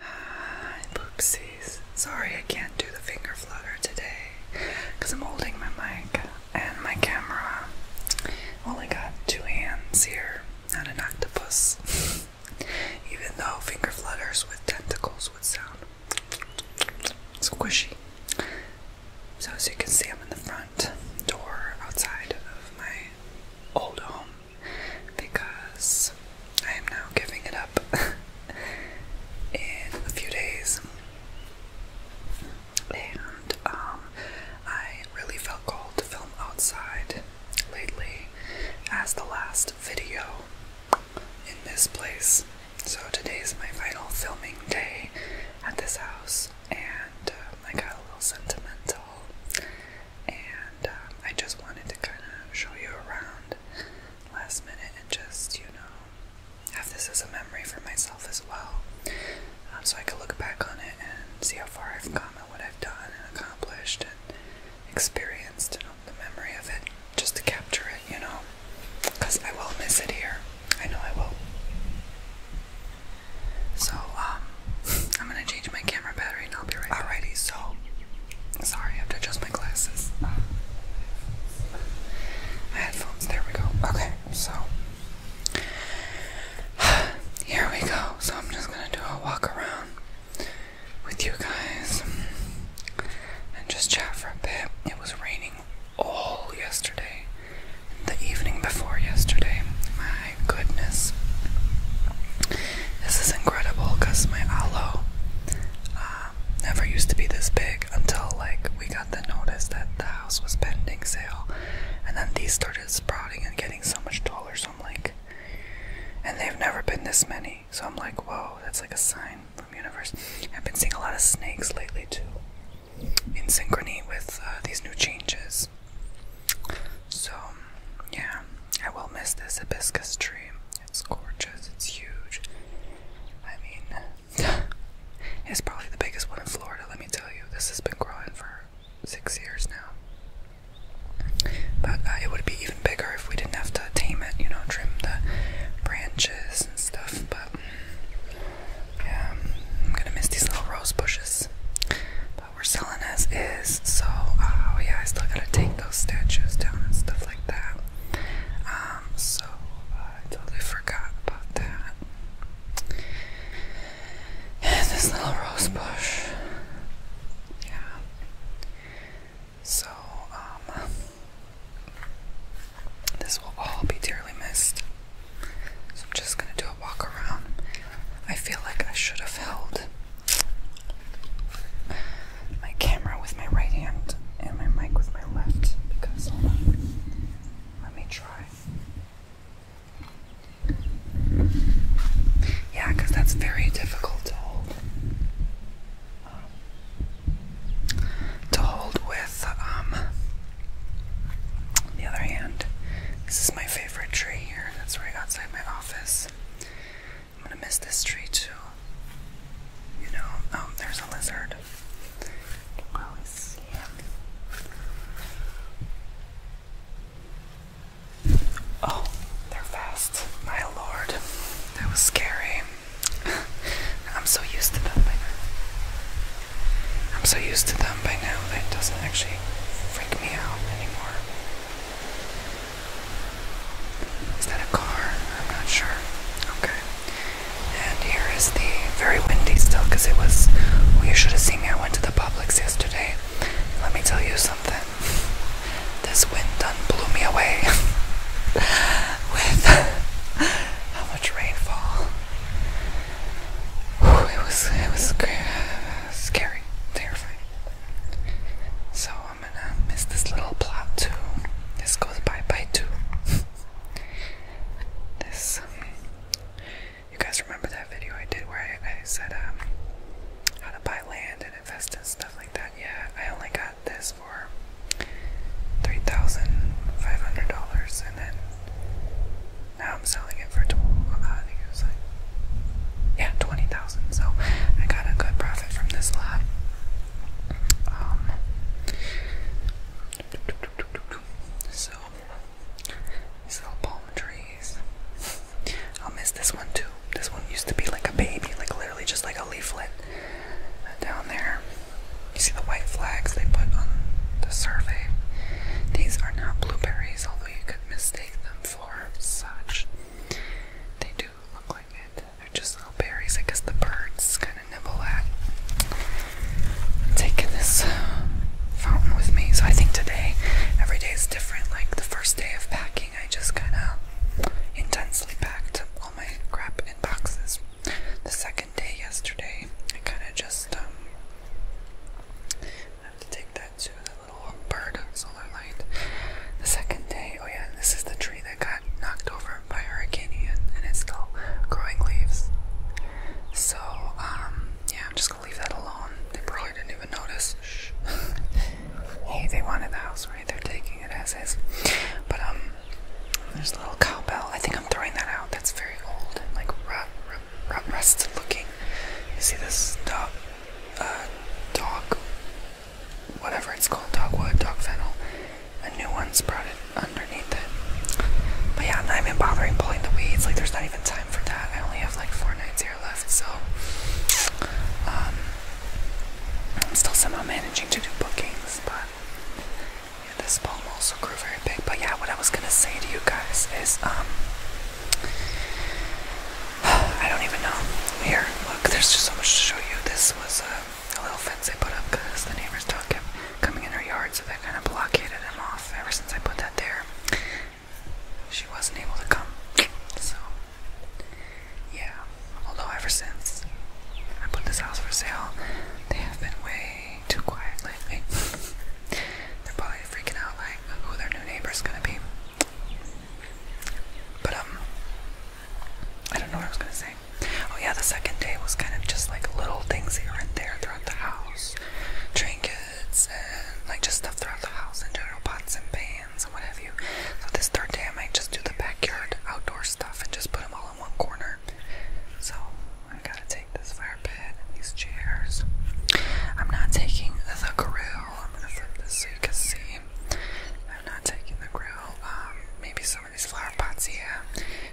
Oopsies. Sorry I can't do the finger flutter today because I'm holding my mic and my camera. I've only got two hands here, not an octopus. Even though finger flutters with tentacles would sound squishy. So, as you can see, I'm in the front door outside of my old home because I am now giving it up in a few days. And um, I really felt called to film outside lately as the last video in this place. So today's my final filming day at this house, and uh, I got a little sentimental and um, I just wanted to kind of show you around last minute and just, you know, have this as a memory for myself as well. Um, so I could look back on it and see how far I've come and what I've done and accomplished and experienced and the memory of it just to capture it, you know, because I will miss it here. I know I will. So, um, I'm gonna change my camera battery and I'll be right back. Alrighty, so sorry, I have to adjust my glasses. Uh, my headphones, there we go. Okay, so here we go. So I'm just gonna do a walk around with you guys and just chat for a bit. It was raining all yesterday, the evening before yesterday. My goodness. This is incredible because my aloe uh, never used to be this big until like we got the notice that the house was pending sale. And then these started sprouting and getting so much taller. So I'm like, and they've never been this many. So I'm like, whoa, that's like a sign from universe. I've been seeing a lot of snakes lately too. In synchrony with uh, these new changes, so, yeah, I will miss this hibiscus tree. It's gorgeous, it's huge. I mean, it's probably the biggest one in Florida, let me tell you. This has been growing for six years now. But uh, it would be even bigger if we didn't have to tame it, you know, trim the branches and stuff. But mm, yeah, I'm gonna miss these little rose bushes what we're selling as is. So, uh, yeah, I still gotta take those statues down and stuff like that. Um, so I totally forgot about that. this little rose bush. Yeah. So, um, this will all be dearly missed. So I'm just gonna walk around. I feel like I should have held my camera with my right hand and my mic with my left because Let me try. Yeah, because that's very difficult to hold. to hold with um, the other hand. This is my favorite favorite tree here that's right outside my office. I'm gonna miss this tree too. You know, oh, there's a lizard. can always see him. Oh, they're fast. My lord, that was scary. I'm so used to them by now. I'm so used to them by now that it doesn't actually freak me out anymore. Is that a car? I'm not sure. Okay. And here is the very windy still it was. you should have seen me. I went to the Publix yesterday. Let me tell you something. This wind done blew me away with how much rainfall. it was. It was scary, terrifying. So I'm gonna miss this little plot too. This goes by by too. this, um, you guys remember that video I did where I, I said um, how to buy land and invest in stuff like that? Yeah, I only got this for $3,500 and then now I'm selling it for, 12, uh, I think it was like, yeah, 20000 so I got a good profit from this lot. Um, so, these little palm trees. I'll miss this one too. This one used to be like a baby, like literally just like a leaflet down there. You see the white flags they put on the survey? These are now blueberries although you could mistake them for such. They do look like it. They're just little berries, I guess the birds kind of nibble at. I'm taking this uh, fountain with me, so I think today, every day is different. Like the first day of packing, I just kind of intensely packed all my crap in boxes. The second day yesterday, I kind of just um, have to take that to that little bird solar light. The second day, oh yeah, this is the tree that got knocked over by Hurricane Ian, and it's still growing leaves. So, um, yeah, I'm just gonna leave that alone. They probably didn't even notice. hey, they wanted the house, right? They're taking it as is. But, um, there's a little cowbell. I think I'm throwing that out. That's very old and like rot rusted looking. You see this dog, uh, whatever it's called, dogwood, dog A new one sprouted underneath it. But yeah, I'm not bothering pulling the weeds. Like, there's not even time for that. I only have like four nights here left, so um, I'm still somehow managing to do bookings, but and this palm also grew very big. But yeah, what I was gonna say to you guys is, um, I don't even know. Here, look, there's just so much to show you. This was uh, a, little fence they put up because the neighbors don't keep coming in her yard, so they kind of blockaded him off. Ever since I put that there, she wasn't able to come. So, yeah. Although ever since I put this house for sale, they have been way too quiet lately. They're probably freaking out like who their new neighbor's gonna be. But um I don't know what I was gonna say. Oh yeah, the second day was kind of just like little things here and there throughout the house. Trinkets and like just stuff throughout the house in general, pots and pans and what have you. So this third day I might just do the backyard outdoor stuff and just put them all one corner. So I gotta take this fire pit and these chairs. I'm not taking the grill. I'm gonna flip this so see. I'm not taking the grill. Um, maybe some of these flower pots. here.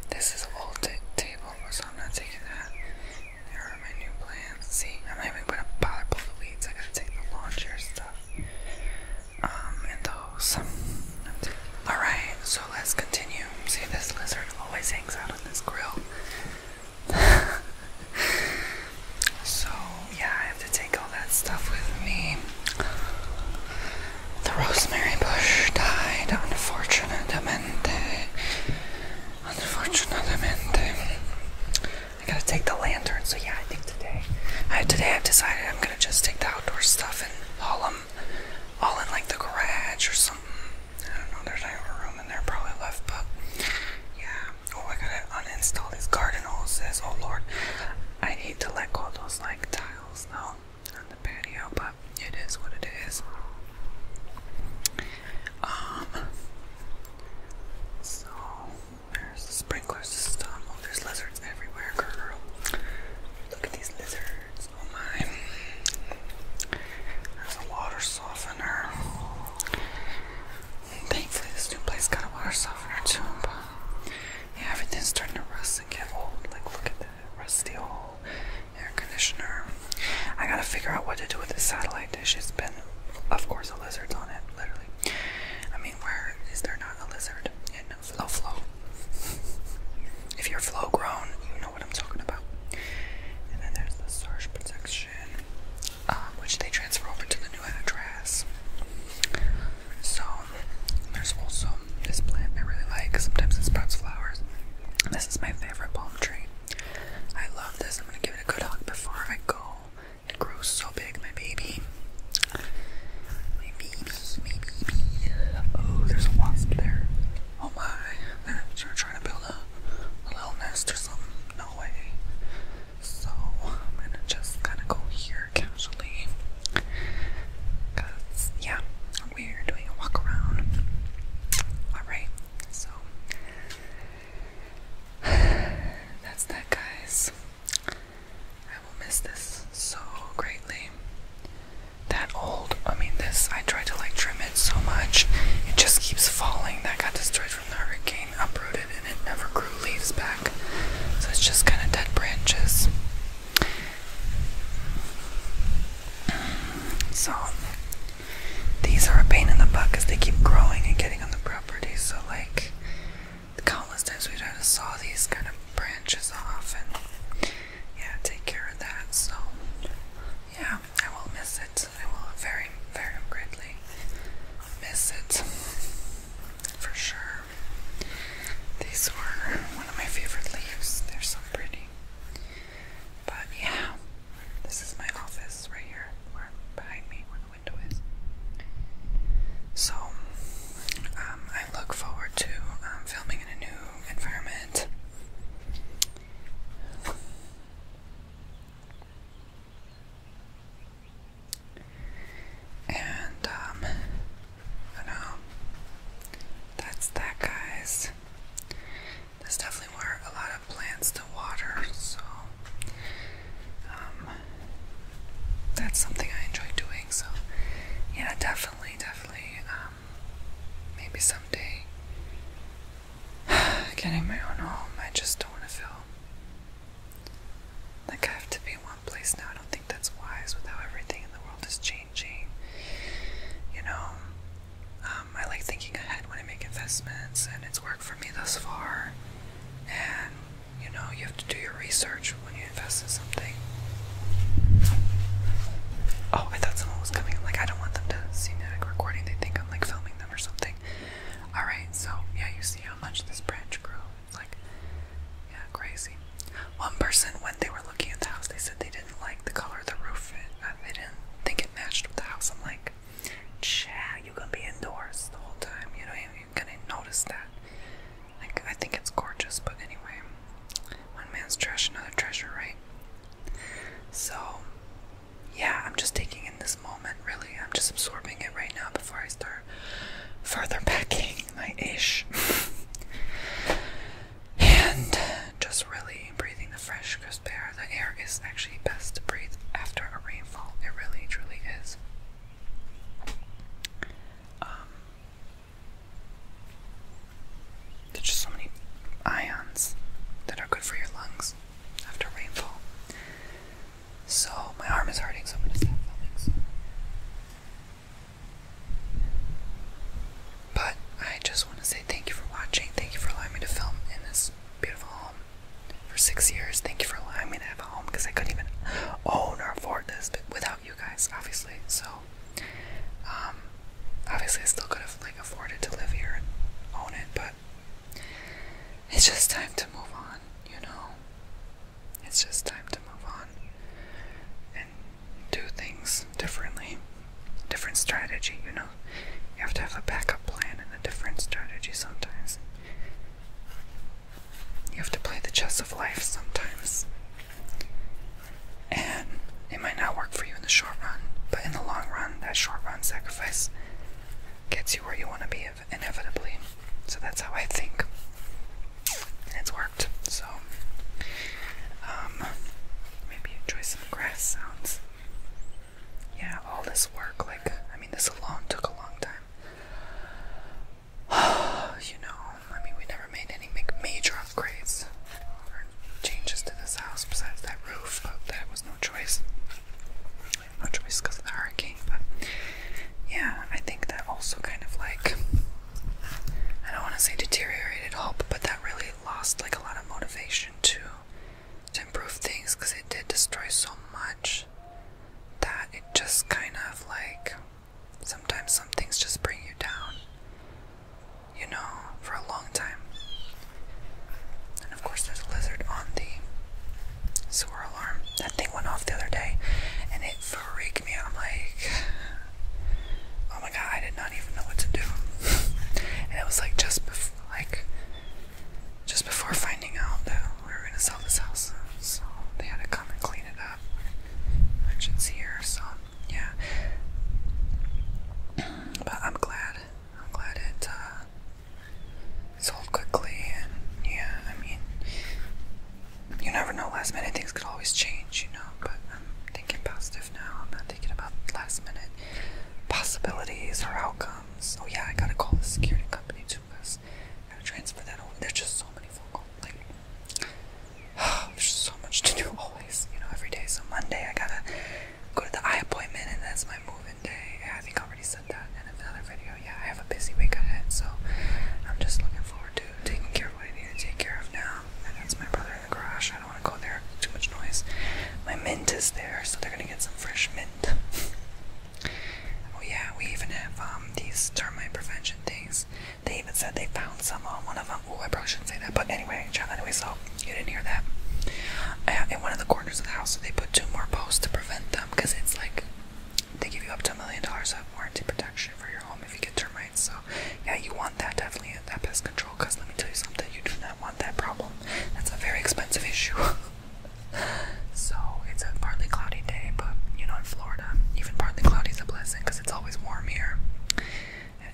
this is old table, so I'm not taking that. There are my new plants. See, I'm not even gonna bother pull the weeds. I gotta take the lawn chair stuff. Um, and those. All right, so let's continue. See, this lizard always hangs out on this grill. so, yeah, I have to take all that stuff with me. The rosemary bush died, unfortunatamente. Unfortunatamente. I gotta take the lantern, so yeah, I think today. today I've decided I'm gonna just take the outdoor stuff and haul them all in like the garage or something. I don't know, there's not even room in there probably left, but yeah. Oh, I gotta uninstall these garden hoses. Oh lord, I need to let go those like tiles though on the patio, but it is what it is. Um, so there's the sprinkler system. Oh, there's lizards everywhere, girl. Look at these lizards there's a water softener. Thankfully this new place got a water softener too, but yeah, everything's starting to rust and get old. Like look at that rusty old air conditioner. I gotta figure out what to do with this satellite dish. It's been of course a lizard's on it, literally. I mean where is there not a lizard? Flow Flow. if you're flow grown, you know what I'm talking about. And then there's the surge protection, um, which they transfer over to the new address. So there's also this plant I really like. Sometimes it sprouts flowers. This is my favorite palm tree. I love this. I'm gonna give it a good hug before I go. It grows so big, my baby. My baby. Oh, there's a wasp there. Oh my. They're trying to build a, little nest or something. No way. So I'm gonna just kind of go here casually. yeah, we're doing a walk around. Alright, so that's that guys will miss this so greatly. That old, I mean, this, I tried to like trim it so much, it just keeps falling. That got destroyed from the hurricane, uprooted, and it never grew leaves back. So it's just kind of dead branches. So, these are a pain in the butt because they keep growing and getting on the property. So, like, countless times we've had to saw these kind of branches off and yeah, take care of that. So, yeah, I will miss it. I will very, very greatly miss it for sure. These were one of my favorite leaves. They're so pretty. But yeah, this is my office right here, where behind me, where the window is. So, um, I look forward to um, filming in a new environment. And, um, I know, that's that, guys. There's definitely were a lot of plants to water, so, um, that's something I enjoy doing, so, yeah, definitely definitely, definitely, um, maybe someday getting my own home. I just don't want to feel like I have to be in one place now. I don't think that's wise with how everything in the world is changing. You know, um, I like thinking ahead when I make investments, and it's worked for me thus far. And you know, you have to do your research when you invest in something. Oh, I thought someone was coming. like, I don't want them to see me recording. They think I'm like filming them or something. Alright, so yeah, you see how much this branch grew. It's like, yeah, crazy. One person, when they were looking at the house, they said they didn't like the color of the roof. It, uh, didn't think it matched with the house. I'm like, chat, you gonna be indoors the whole time. You know, you're notice that. Like, I think it's gorgeous, but anyway, one man's trash, another treasure, right? So, yeah, I'm just taking in this moment, really. I'm just absorbing it right now before I start further packing my ish. and just really breathing the fresh, crisp air. The air is actually best to breathe after a rainfall. It really, truly is. Um, there's just so many ions that are good for your lungs after rainfall. So my arm is hurting, so I'm gonna filming. But I just want to say thank you for watching. Thank you for allowing me to film in this beautiful home for six years. Thank you for allowing me to have a home because I couldn't even own or afford this without you guys, obviously. So, um, obviously, I still could have like afforded to live here and own it, but it's just time to move on, you know. It's just time to move on and do things differently, different strategy, you know. You have to have a backup plan and a different strategy sometimes. You have to play the chess of life sometimes. And it might not work for you in the short run, but in the long run, that short run sacrifice gets you where you want to be inevitably. So that's how I think. And it's worked. So um, maybe enjoy some grass sounds. Yeah, all this work, like, I mean, this alone took a long time. you know, I mean, we never made any major upgrades or changes to this house besides that roof, but that was no choice. No choice because of the hurricane, but yeah, I think that also kind of like, I don't want to say deteriorated hope, but that really lost like a lot of motivation to to improve things because it did destroy so much that it just kind of like sometimes some things just bring you down, you know, for a long time. And of course, there's a lizard on the sore alarm. That thing went off the other day and it freaked me out. I'm like, oh my god, I did not even know what to do. and it was like just before, like, just before finding out though we are gonna sell this house, so they had to come and clean it up. Merchants here, so yeah. But I'm glad. I'm glad it uh, sold quickly, and yeah, I mean, you never know. Last minute things could always change, you know. But I'm thinking positive now. I'm not thinking about last minute possibilities or outcomes. Oh yeah, I gotta call the security company too, cause gotta transfer that There's just so many Like, there's so much to do always. You know, every day. So Monday I gotta go to the eye appointment, and that's my move day. I think I already said that in another video. Yeah, I have a busy week ahead, so I'm just looking forward to taking care of what I need to take care of now. And that's my brother in the garage. I don't want to go there. Too much noise. My mint is there, so they're gonna get some fresh mint. Oh yeah, we even have um, these termite prevention things. They even said they found some on one of them. Oh, I probably shouldn't say that, but anyway, anyway, so you didn't hear that. Uh, in one of the corners of the house, so they put two more posts to prevent them because it's like they give you up to a million dollars of warranty protection for your home if you get termites. So yeah, you want that definitely that pest control. Cause let me tell you something, you do not want that problem. That's a very expensive issue. So it's a partly cloudy day, but you know, in Florida, even partly cloudy is a blessing because it's always warm here.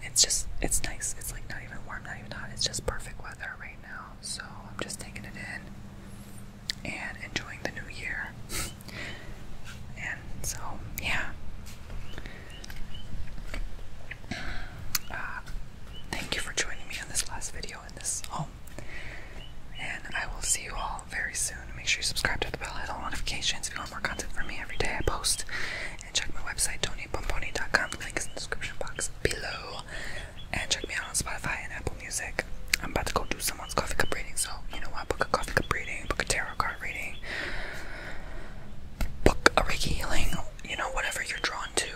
It's just, it's nice. It's like not even warm, not even hot. It's just perfect weather right now. So I'm just taking it in and enjoying the new year. and so, yeah. Uh, thank you for joining me on this last video in this. Oh and I will see you all very soon. Make sure you subscribe to the bell, hit all notifications if you want more content from me every day. I post and check my website, tonypomponi.com. The link is in the description box below. And check me out on Spotify and Apple Music. I'm about to go do someone's coffee cup reading, so you know what? Book a coffee cup reading, book a tarot card reading, book a Reiki healing, you know, whatever you're drawn to.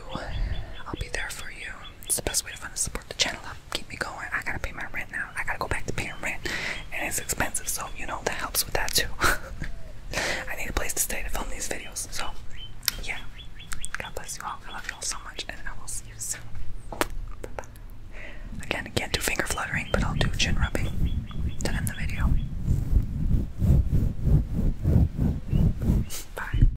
I'll be there for you it's the best way to find to support the channel up, keep me going. I gotta pay my rent now. I gotta go back to paying rent, and it's expensive, so you know that helps with that too. I need a place to stay to film these videos, so yeah. God bless you all. I love you all so much, and I will see you soon. Bye Again, can't do finger fluttering, but I'll do chin rubbing to end the video. Bye.